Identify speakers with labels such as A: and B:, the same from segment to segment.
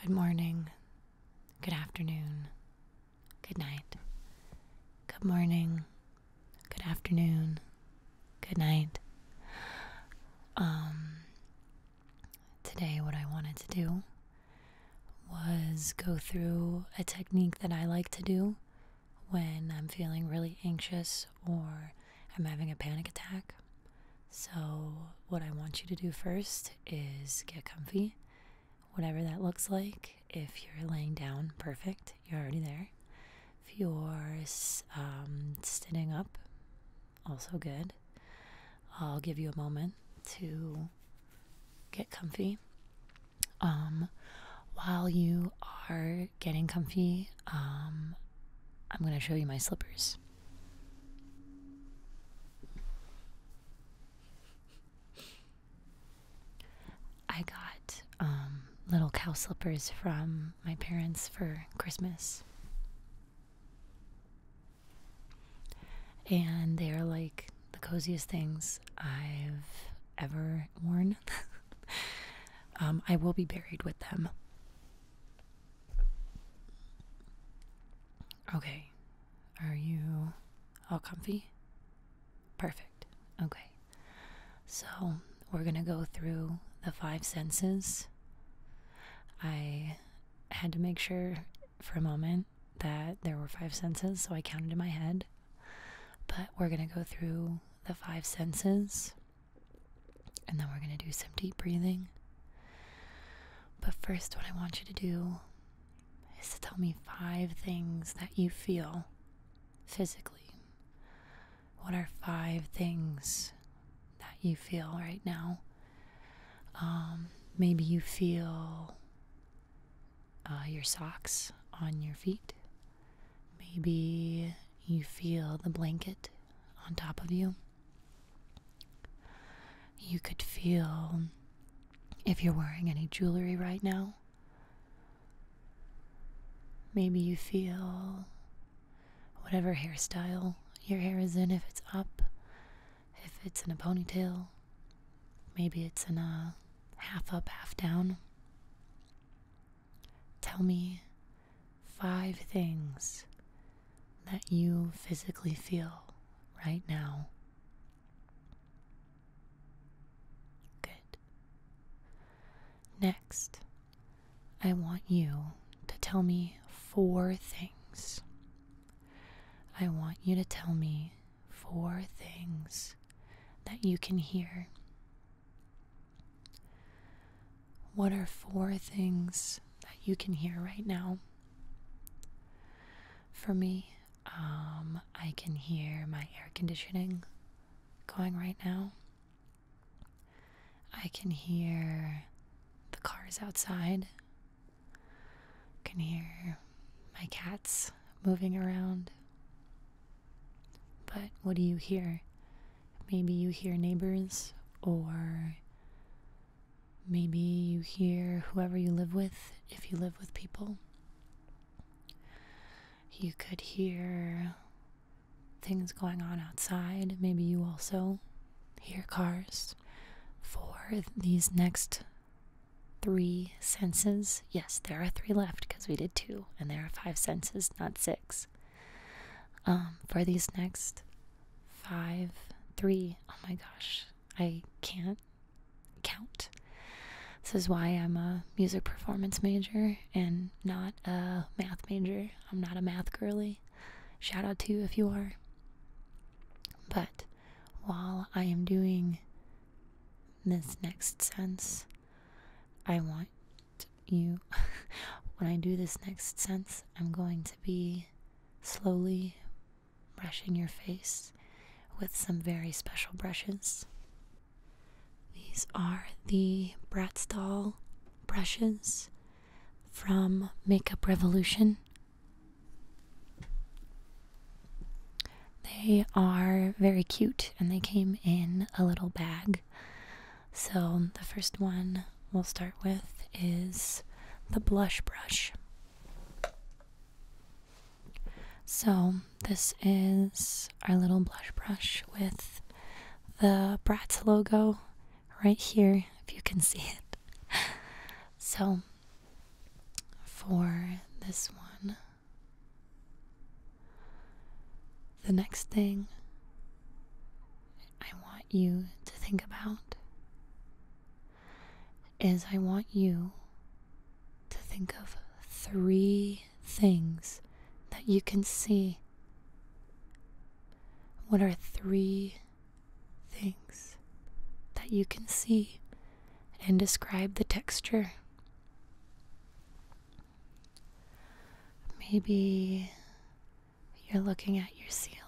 A: Good morning, good afternoon, good night. Good morning, good afternoon, good night. Um, today, what I wanted to do was go through a technique that I like to do when I'm feeling really anxious or I'm having a panic attack. So, what I want you to do first is get comfy, whatever that looks like. If you're laying down, perfect, you're already there. If you're um, sitting up, also good. I'll give you a moment to get comfy. Um, while you are getting comfy, um, I'm going to show you my slippers. I got um, little cow slippers from my parents for Christmas. And they are like the coziest things I've ever worn. Um, I will be buried with them. Okay. Are you all comfy? Perfect. Okay. So, we're going to go through the five senses. I had to make sure for a moment that there were five senses, so I counted in my head. But we're going to go through the five senses and then we're going to do some deep breathing. But first, what I want you to do is to tell me five things that you feel physically. What are five things that you feel right now? Um, maybe you feel uh, your socks on your feet. Maybe you feel the blanket on top of you. You could feel, if you're wearing any jewelry right now, maybe you feel whatever hairstyle your hair is in, if it's up, if it's in a ponytail, maybe it's in a half up, half down. Tell me five things that you physically feel right now. Good. Next, I want you to tell me four things. I want you to tell me four things that you can hear. What are four things that you can hear right now? For me, um, I can hear my air conditioning going right now. I can hear the cars outside. I can hear my cats moving around. But what do you hear? Maybe you hear neighbors or Maybe you hear whoever you live with, if you live with people. You could hear things going on outside. Maybe you also hear cars. For these next three senses, yes, there are three left because we did two, and there are five senses, not six. Um, for these next five, three, oh my gosh, I can't count. This is why I'm a music performance major and not a math major. I'm not a math girly. Shout out to you if you are. But while I am doing this next sense, I want you, when I do this next sense, I'm going to be slowly brushing your face with some very special brushes. These are the Bratz doll brushes from Makeup Revolution. They are very cute and they came in a little bag so, the first one we'll start with is the blush brush. So, this is our little blush brush with the Bratz logo right here, if you can see it. so, for this one, the next thing I want you to think about is I want you to think of three things that you can see. What are three things that you can see and describe the texture? Maybe you're looking at your ceiling.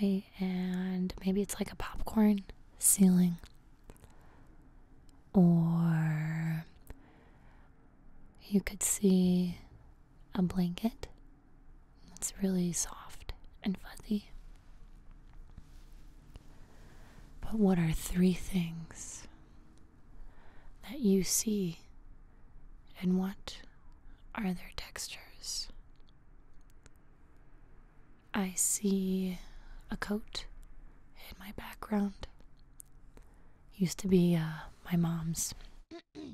A: May and maybe it's like a popcorn ceiling. Or you could see a blanket that's really soft and fuzzy. But what are three things that you see, and what are their textures? I see a coat in my background. Used to be uh, my mom's.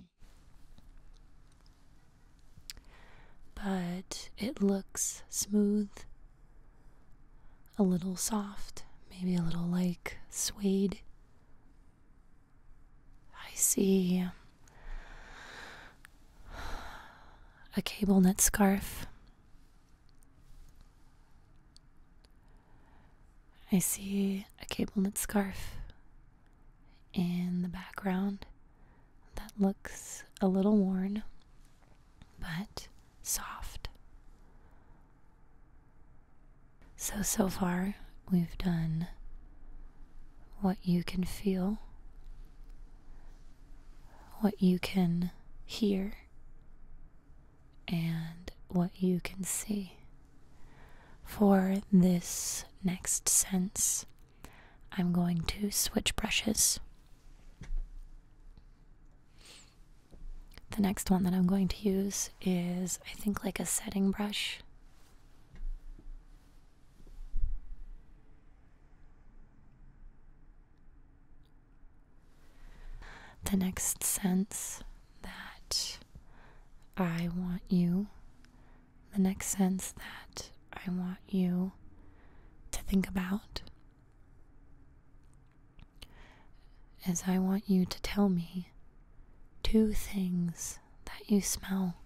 A: but it looks smooth, a little soft, maybe a little like suede I see a cable knit scarf. I see a cable knit scarf in the background that looks a little worn but soft. So, so far, we've done what you can feel, what you can hear, and what you can see. For this next sense, I'm going to switch brushes. The next one that I'm going to use is, I think, like a setting brush. The next sense that I want you, the next sense that I want you to think about as I want you to tell me two things that you smell.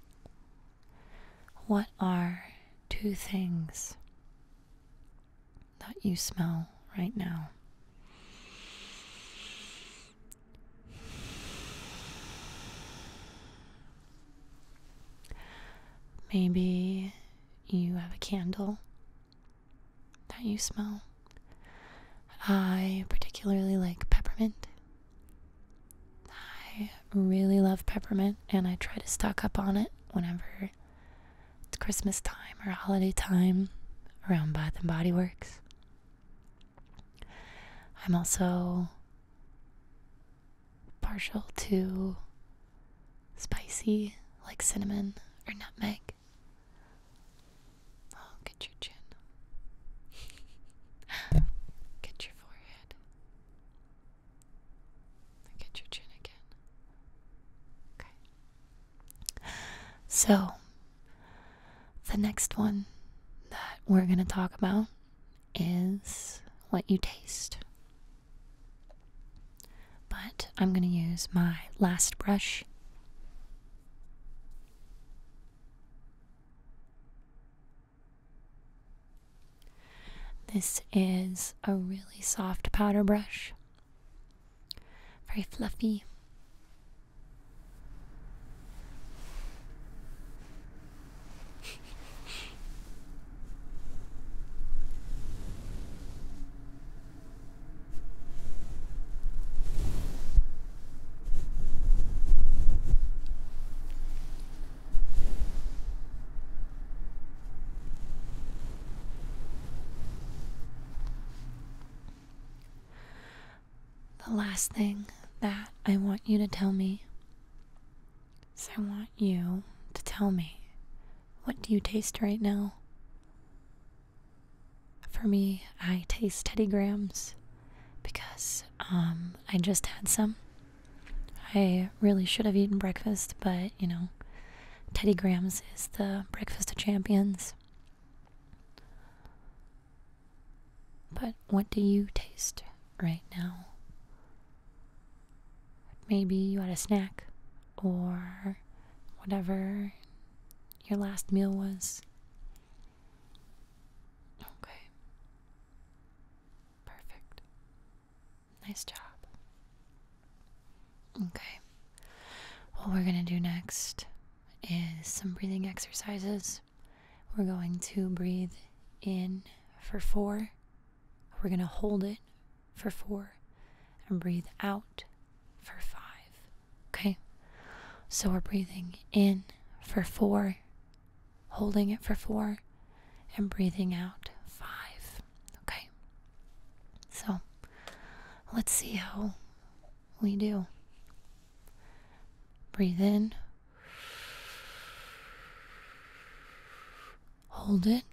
A: What are two things that you smell right now? Maybe you have a candle that you smell. I particularly like peppermint. I really love peppermint and I try to stock up on it whenever it's Christmas time or holiday time around Bath and Body Works. I'm also partial to spicy, like cinnamon or nutmeg. Oh, get your chin. get your forehead. get your chin again. Okay. So, the next one that we're going to talk about is what you taste but I'm going to use my last brush. This is a really soft powder brush, very fluffy. The last thing that I want you to tell me is I want you to tell me what do you taste right now? For me, I taste Teddy Grahams because um, I just had some. I really should have eaten breakfast, but you know, Teddy Grahams is the breakfast of champions. But what do you taste right now? Maybe you had a snack or whatever your last meal was? Okay. Perfect. Nice job. Okay. What we're going to do next is some breathing exercises. We're going to breathe in for four. We're going to hold it for four and breathe out for five. Okay? So we're breathing in for four, holding it for four, and breathing out five. Okay? So let's see how we do. Breathe in. Hold it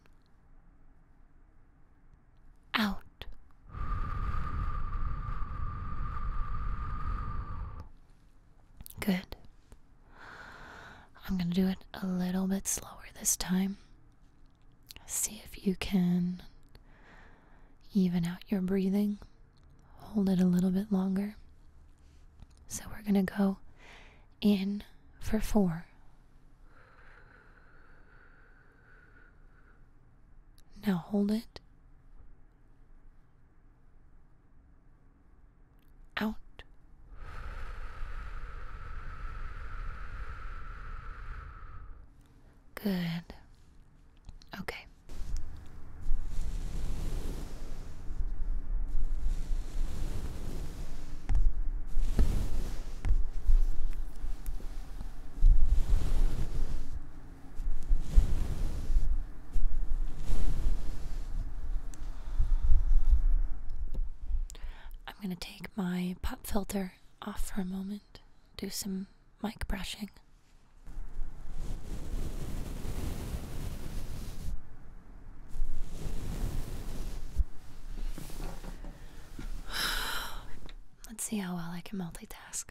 A: out. Good. I'm going to do it a little bit slower this time. See if you can even out your breathing. Hold it a little bit longer. So we're going to go in for four. Now hold it out. Good. Okay. I'm going to take my pop filter off for a moment, do some mic brushing. Let's see how well I can multitask.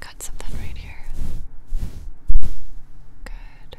A: Cut something right here. Good.